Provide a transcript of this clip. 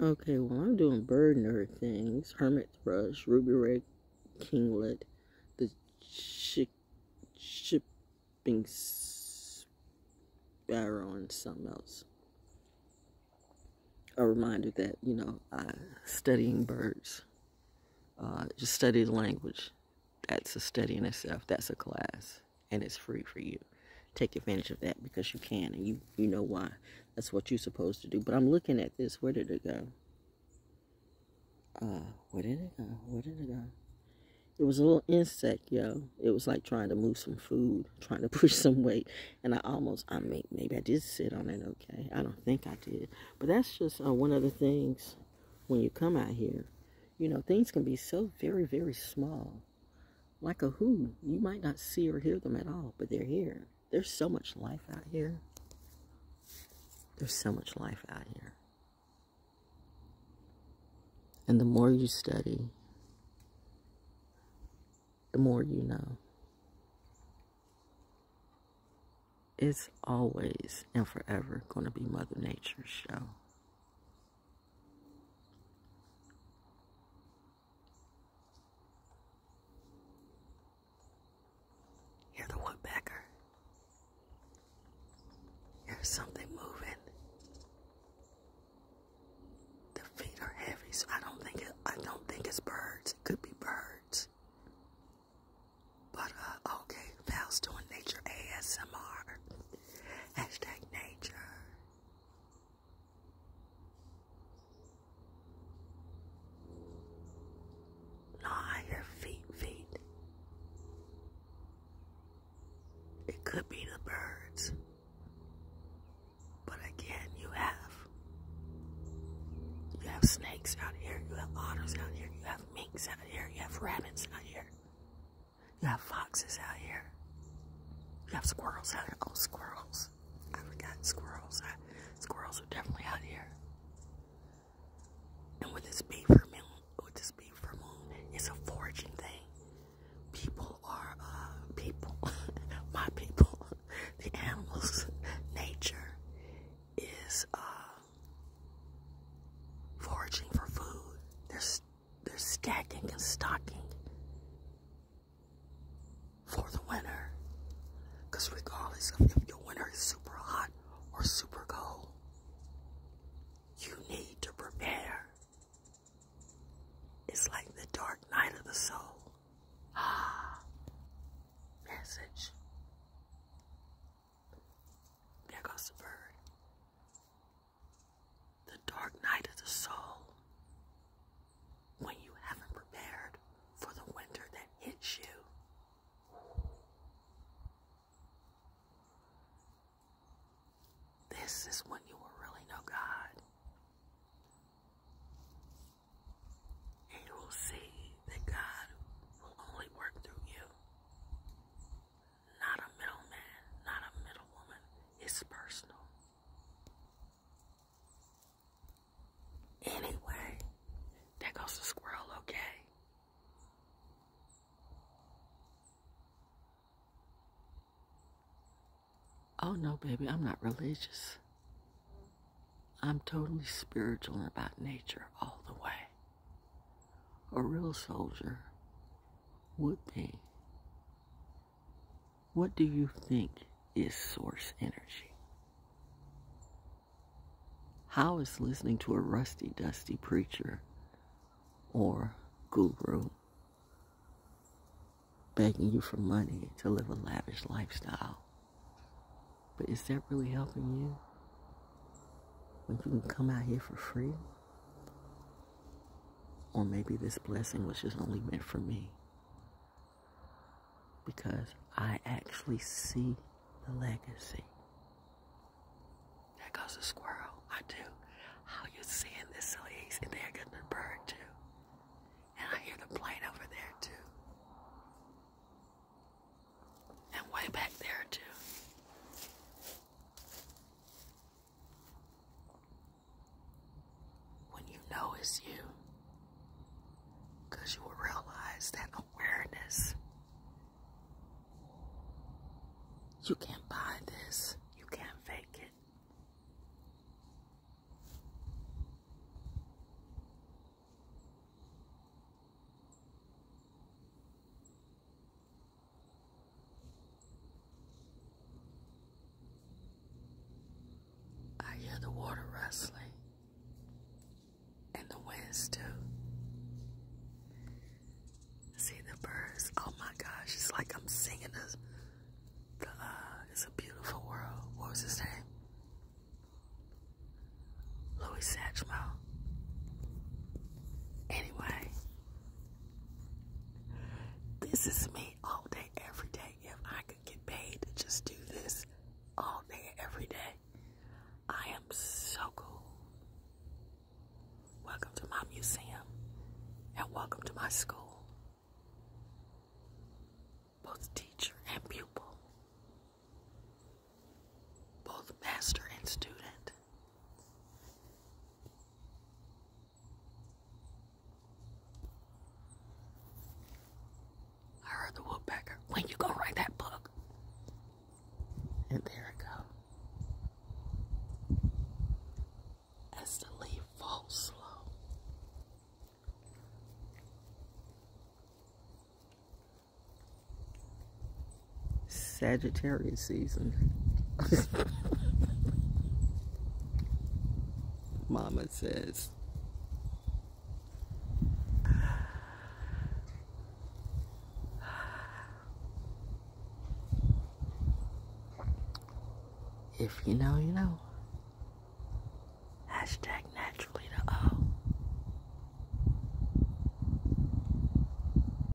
Okay, well, I'm doing bird nerd things. Hermit thrush, ruby red kinglet, the chick, shipping sparrow, and something else. A reminder that, you know, studying birds, uh, just study the language. That's a study in itself. That's a class and it's free for you. Take advantage of that because you can and you you know why. That's what you're supposed to do. But I'm looking at this. Where did it go? Uh, where did it go? Where did it go? It was a little insect, yo. It was like trying to move some food, trying to push some weight. And I almost, I mean, maybe I did sit on it okay. I don't think I did. But that's just uh, one of the things when you come out here. You know, things can be so very, very small. Like a who. You might not see or hear them at all, but they're here. There's so much life out here. There's so much life out here. And the more you study, the more you know. It's always and forever going to be Mother Nature's show. You're the woodpecker. There's something moving. The feet are heavy, so I don't think it, I don't think it's birds. It could be birds. But uh, okay, Val's doing nature ASMR. Hashtag nature. Not your feet, feet. It could be the birds. But again, you have you have snakes out here, you have otters out here, you have minks out here, you have rabbits out here. You have foxes out here. You have squirrels out here. Oh, squirrels. I forgot squirrels. squirrels are definitely out here. And with this beaver moon, with this beaver moon, it's a foraging thing. People are, uh, people. My people. The animals. Nature is, uh, foraging for food. There's they're stacking and stocking for the winter. Because regardless of if your winter is super hot or super cold, you need to prepare. It's like the dark night of the soul. Ah, message. There goes the bird the dark night of the soul, when you haven't prepared for the winter that hits you. This is when you will really know God. And you will see that God will only work through you not a middleman, not a middlewoman. It's personal. Anyway, there goes the squirrel, okay? Oh no, baby, I'm not religious. I'm totally spiritual about nature all the way. A real soldier would be what do you think is source energy? How is listening to a rusty, dusty preacher or guru begging you for money to live a lavish lifestyle? But is that really helping you? When you can come out here for free or maybe this blessing was just only meant for me. Because I actually see the legacy. There goes a squirrel. I do. How you seeing this silly east? And there goes the bird too. And I hear the plane over there too. And way back there too when you know it's you. you will realize that awareness. You can't buy this. You can't fake it. I hear the water rustling and the winds too. See the birds. Oh my gosh, it's like I'm singing this. The, uh, it's a beautiful world. What was his name? Louis Satchmo. Anyway, this is me all day, every day. If I could get paid to just do this all day, every day, I am so cool. Welcome to my museum and welcome to my school. Both teacher and pupil, both master and student. I heard the woodpecker. When you gonna write that book? And there it go. As the leaf falls slow. Sagittarius season. Mama says. If you know, you know. Hashtag